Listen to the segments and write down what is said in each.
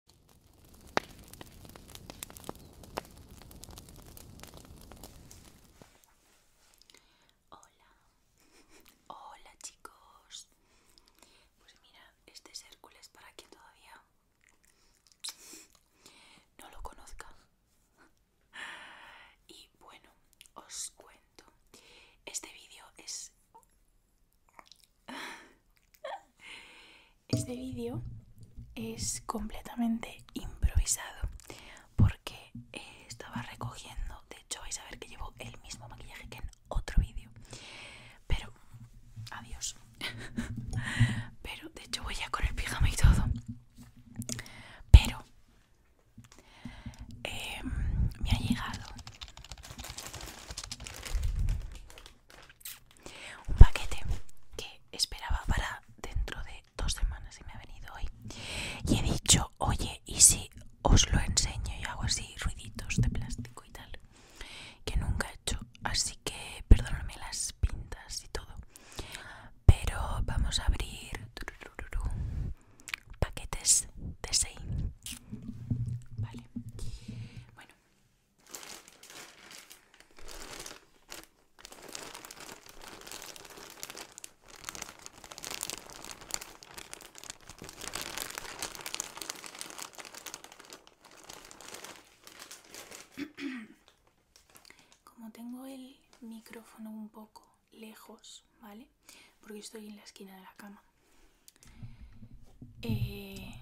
Hola, hola chicos. Pues mira, este es Hércules para quien todavía no lo conozca. Y bueno, os cuento. Este vídeo es Este vídeo es completamente improvisado porque eh, estaba recogiendo, de hecho vais a ver que llevo el mismo maquillaje que en otro vídeo, pero adiós, pero de hecho voy ya con el pijama y todo, pero em, me ha llegado un paquete que esperaba para dentro de dos semanas y me ha venido hoy y he dicho oye y si os lo enseño y hago así ruiditos de plástico y tal que nunca he hecho así que perdóname las pintas y todo pero vamos a abrir paquetes de 6 vale bueno Como tengo el micrófono un poco lejos, ¿vale? Porque estoy en la esquina de la cama. Eh,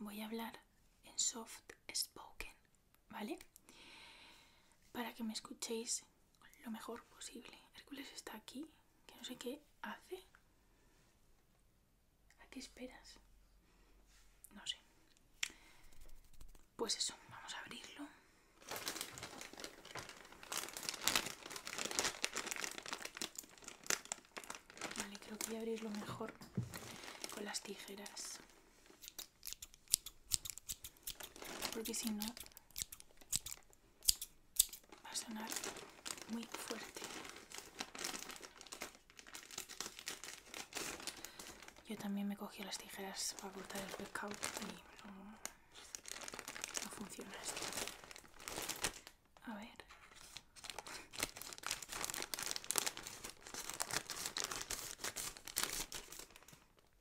voy a hablar en soft spoken, ¿vale? Para que me escuchéis lo mejor posible. Hércules está aquí, que no sé qué hace. ¿A qué esperas? No sé. Pues eso, vamos a abrirlo. Vale, creo que voy a abrirlo mejor con las tijeras. Porque si no, va a sonar muy fuerte. Yo también me cogí las tijeras para cortar el pescado y no, no funciona esto. A ver.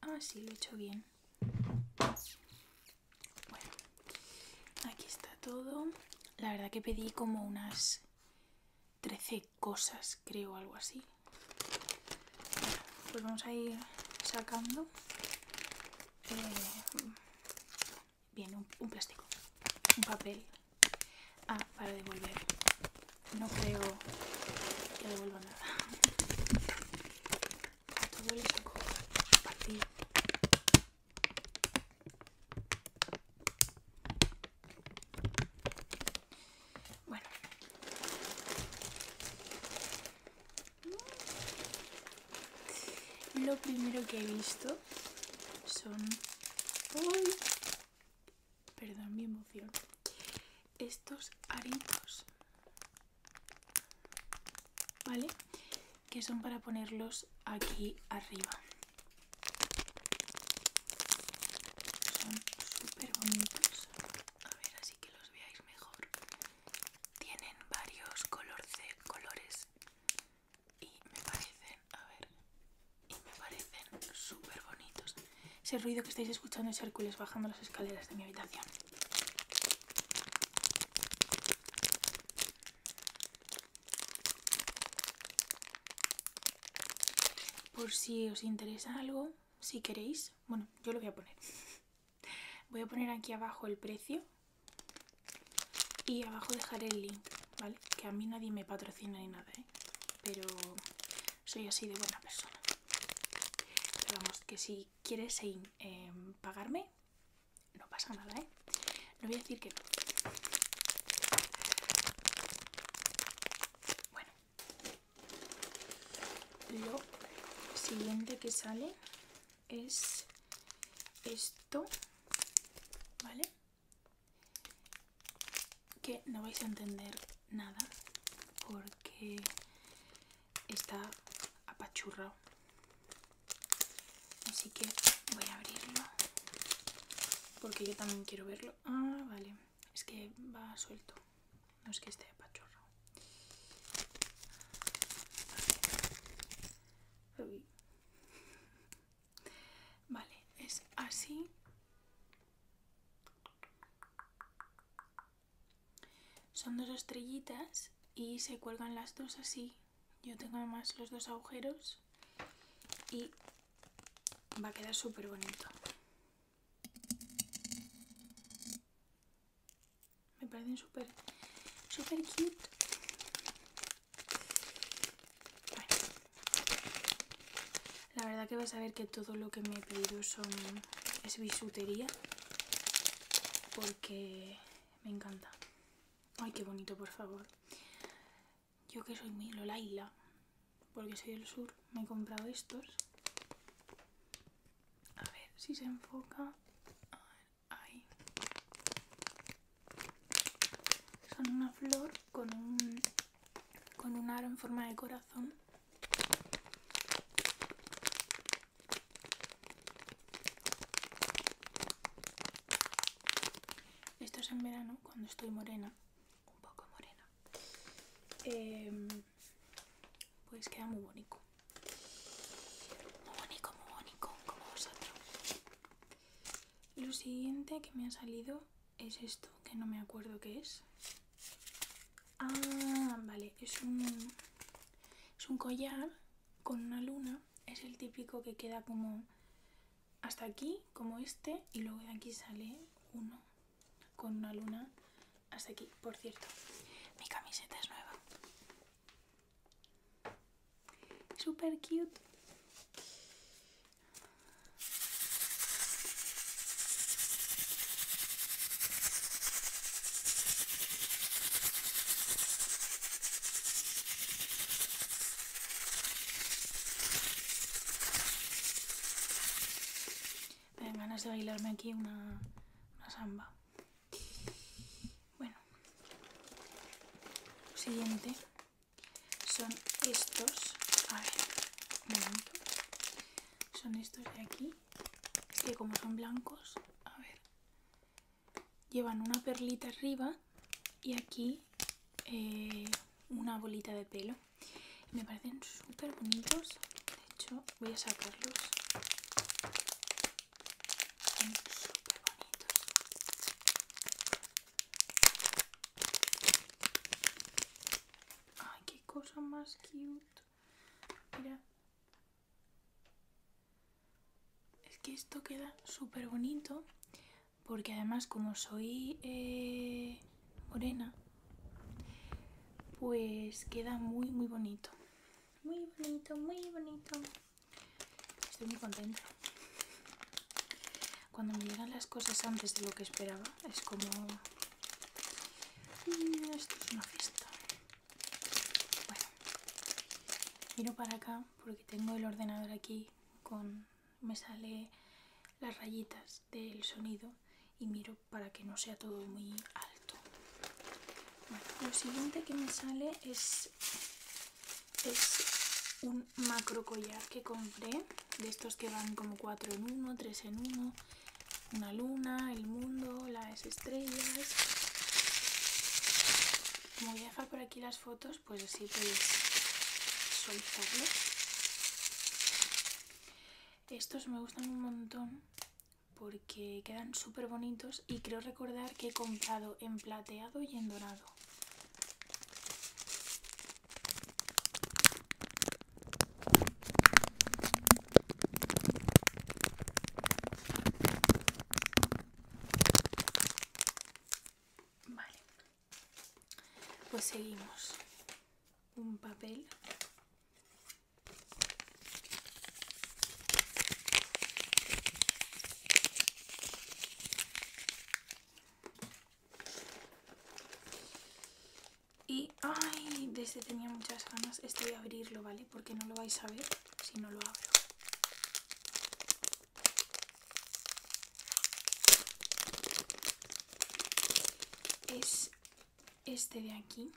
Ah, sí, lo he hecho bien. Bueno, aquí está todo. La verdad que pedí como unas 13 cosas, creo, algo así. Pues vamos a ir sacando. Eh, bien, un plástico, un papel Ah, para devolver. No creo que devuelva nada. Todo el saco Bueno. Lo primero que he visto son... hoy. Perdón mi emoción. Estos aritos, ¿vale? Que son para ponerlos aquí arriba. Son súper bonitos. A ver, así que los veáis mejor. Tienen varios colores y me parecen, a ver, y me parecen súper bonitos. Ese ruido que estáis escuchando es Hércules bajando las escaleras de mi habitación. Por si os interesa algo, si queréis, bueno, yo lo voy a poner. Voy a poner aquí abajo el precio y abajo dejaré el link, ¿vale? Que a mí nadie me patrocina ni nada, ¿eh? ¿eh? pero soy así de buena persona pero vamos que si quieres eh, pagarme no pasa nada eh no voy a decir que bueno lo siguiente que sale es esto vale que no vais a entender nada porque está apachurrado así que voy a abrirlo porque yo también quiero verlo ah vale es que va suelto no es que esté apachurrado Vale, es así. Son dos estrellitas y se cuelgan las dos así. Yo tengo más los dos agujeros y va a quedar súper bonito. Me parecen súper, súper cute. La verdad que vas a ver que todo lo que me he pedido son, es bisutería. Porque me encanta. Ay, qué bonito, por favor. Yo que soy muy Laila, porque soy del sur, me he comprado estos. A ver si se enfoca. Son una flor con un, con un aro en forma de corazón esto es en verano cuando estoy morena un poco morena em, pues queda muy bonito muy bonito muy bonito como vosotros lo siguiente que me ha salido es esto, que no me acuerdo qué es. Ah, vale, es un, es un collar con una luna. Es el típico que queda como hasta aquí, como este, y luego de aquí sale uno con una luna hasta aquí. Por cierto, mi camiseta es nueva. Super cute. Tengo ganas de bailarme aquí una, samba. Bueno, siguiente son estos a ver un momento son estos de aquí que como son blancos a ver llevan una perlita arriba y aquí eh, una bolita de pelo me parecen súper bonitos de hecho voy a sacarlos son súper bonitos Ay, qué cosa más cute. Mira. Es que esto queda súper bonito. Porque además como soy eh, morena, pues queda muy, muy bonito. Muy bonito, muy bonito. Estoy muy contenta. Cuando me llegan las cosas antes de lo que esperaba, es como... Mm, esto es una fiesta. Bueno, miro para acá porque tengo el ordenador aquí con... Me sale las rayitas del sonido y miro para que no sea todo muy alto. lo siguiente que me sale es, es un macro collar que compré de estos que van como 4 en 1, 3 en 1, una luna, el mundo, las estrellas. Como voy a dejar por aquí las fotos, pues así podéis soltarlo. Estos me gustan un montón porque quedan súper bonitos y creo recordar que he comprado en plateado y en dorado. Vale, pues seguimos. Un papel. Y, ay, desde tenía muchas ganas. estoy voy a abrirlo, ¿vale? Porque no lo vais a ver si no lo abro. Es este de aquí,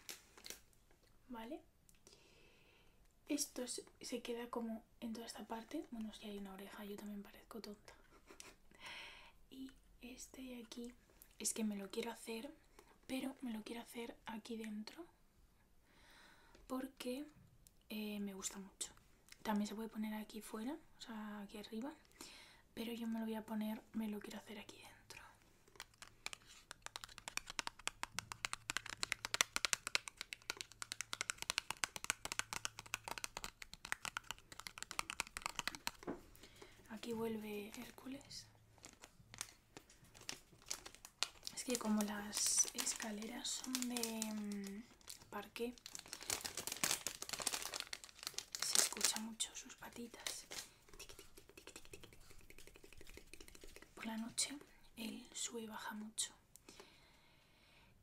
¿vale? Esto se queda como en toda esta parte. Bueno, si hay una oreja, yo también parezco tonta. este de aquí es que me lo quiero hacer, pero me lo quiero hacer aquí dentro porque eh, me gusta mucho. También se puede poner aquí fuera, o sea, aquí arriba, pero yo me lo voy a poner, me lo quiero hacer aquí dentro. Aquí vuelve Hércules. Es que como las escaleras son de parque, se escucha mucho sus patitas. Por la noche él sube y baja mucho.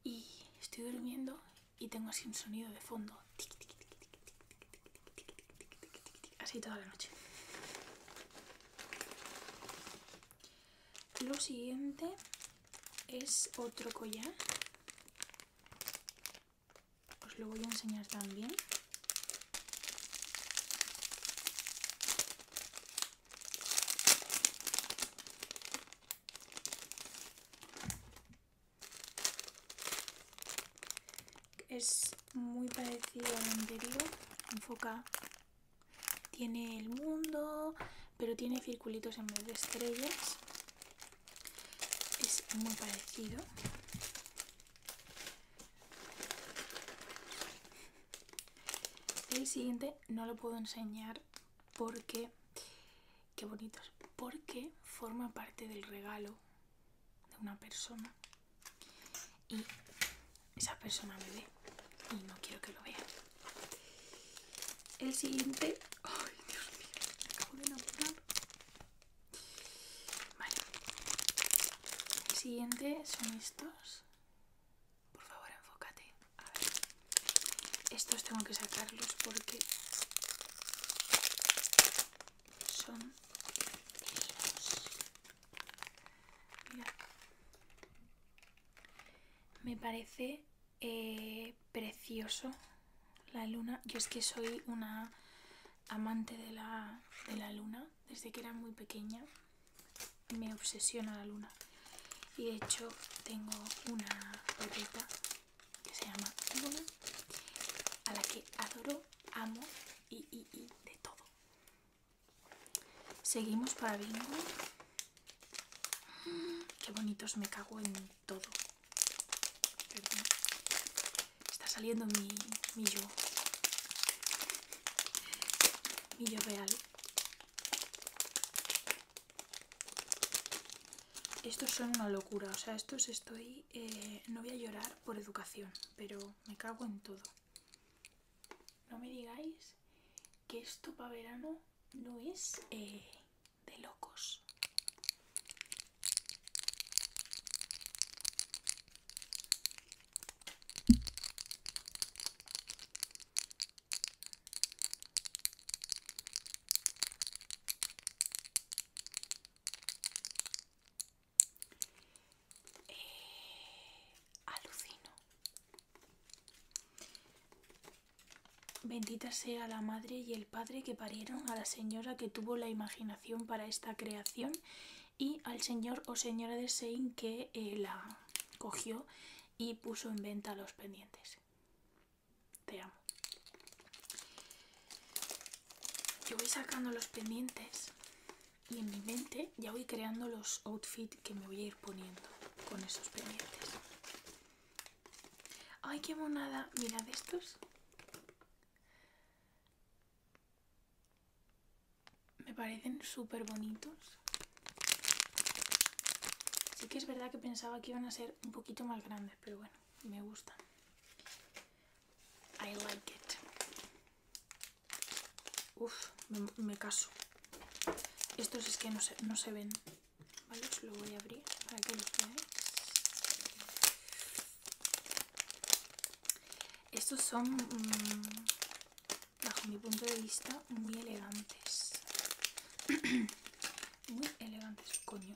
Y estoy durmiendo y tengo así un sonido de fondo. Así toda la noche. Lo siguiente es otro collar. Os lo voy a enseñar también. Es muy parecido al anterior. Enfoca. Tiene el mundo, pero tiene circulitos en vez de estrellas. Es muy parecido. El siguiente no lo puedo enseñar porque qué bonitos, porque forma parte del regalo de una persona y esa persona me ve y no quiero que lo vean. El siguiente, ay Dios mío, me acabo de enamorar. Vale, el siguiente son estos. Por favor, enfócate. A ver, estos tengo que sacarlos porque son me parece eh, precioso la luna yo es que soy una amante de la, luna desde que era muy pequeña me obsesiona la luna y de hecho tengo una pepita que se llama a la que adoro, amo y, y, y de todo. Seguimos para bingo. que mm, qué bonitos, me cago en todo. Está saliendo mi, mi yo. Mi yo real. Estos son una locura, o sea, estos estoy eh, no voy a llorar por educación, pero me cago en todo. No me digáis que esto para verano no es eh, de locos. Eh, alucino. Bendita sea la madre y el padre que parieron a la señora que tuvo la imaginación para esta creación y al señor o señora de Sein que eh, la cogió y puso en venta los pendientes. Te amo. Yo voy sacando los pendientes y en mi mente ya voy creando los outfits que me voy a ir poniendo con esos pendientes. ¡Ay, qué monada! Mirad estos. Me parecen súper bonitos. Sí que es verdad que pensaba que iban a ser un poquito más grandes, pero bueno, me gustan. I like it. Uf, me, caso. Estos es que no se, no se ven. Vale, os pues lo voy a abrir para que los veáis. Estos son, mm, bajo mi punto de vista, muy elegantes. muy elegantes, coño.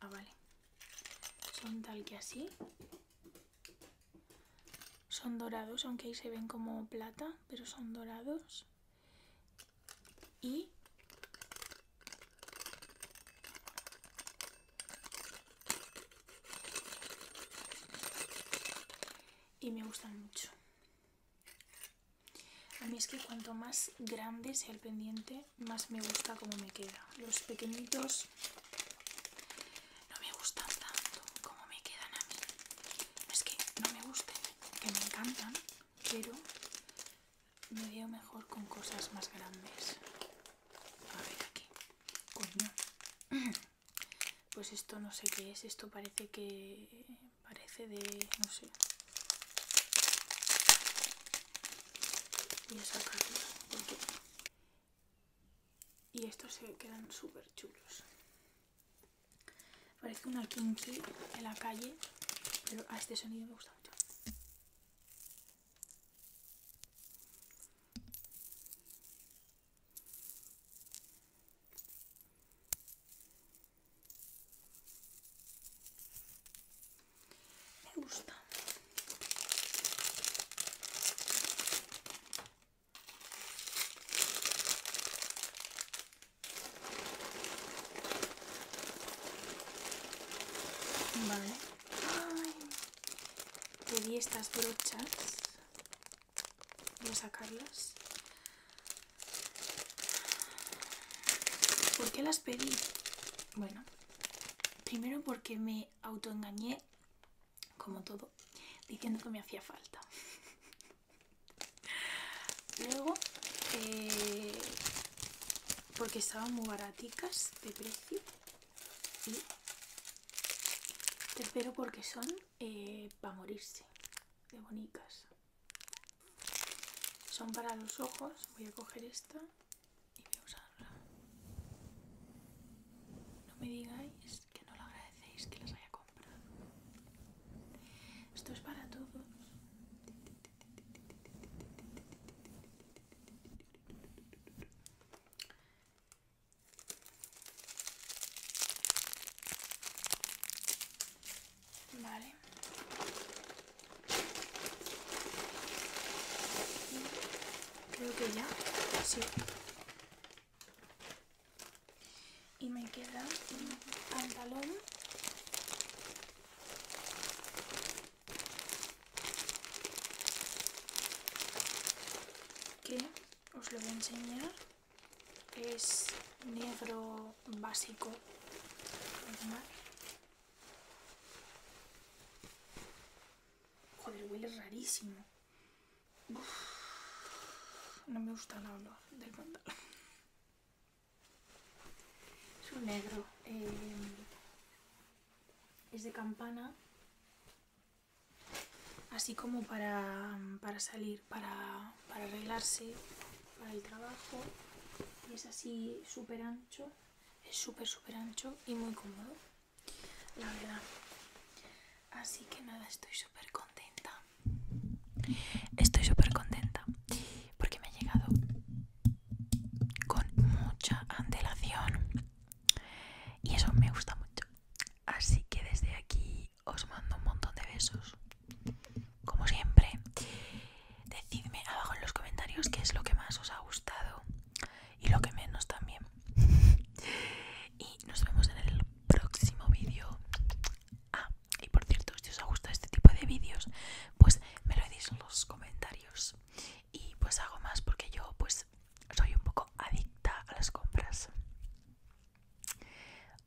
Ah, vale son tal que así. Son dorados, aunque ahí se ven como plata, pero son dorados. Y me gustan mucho. A mí es que cuanto más grande sea el pendiente, más me gusta como me queda. Los pequeñitos no me gustan tanto como me quedan a mí. es que no me gusten, que me encantan, pero me veo mejor con cosas más grandes. A ver aquí. Coño. Pues esto no sé qué es, esto parece que... parece de... no sé y estos se quedan súper chulos parece una kinky en la calle pero a este sonido me gusta mucho me gusta. Vale. pedí estas brochas. Voy a sacarlas. ¿Por qué las pedí? Bueno, Primero porque me autoengañé, como todo, diciendo que me hacía falta. Luego, eh, porque estaban muy baraticas de precio. Y tercero porque son eh, para morirse, de bonitas. Son para los ojos, voy a coger esta y voy No me digáis que no lo agradecéis que las haya comprado. Esto es para todos. Vale. Creo que ya. Sí. Y me queda un pantalón. Que os lo voy a enseñar. Es negro básico. Normal. Joder, huele rarísimo. no me gusta el olor del pantalón. Es un negro. Eh, es de campana. Así como para, salir, para, para arreglarse, para el trabajo. Y es así súper ancho es súper súper ancho y muy cómodo la verdad así que nada estoy súper contenta estoy súper contenta porque me ha llegado con mucha antelación y eso me gusta mucho así que desde aquí os mando un montón de besos como siempre decidme abajo en los comentarios qué es lo que más os ha gustado y lo que menos también. y nos vemos en el próximo vídeo. Ah, y por cierto, si os ha este tipo de vídeos, pues me lo decís en los comentarios. Y pues hago más porque yo pues soy un poco adicta a las compras.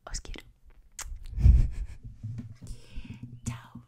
Os quiero. Chao.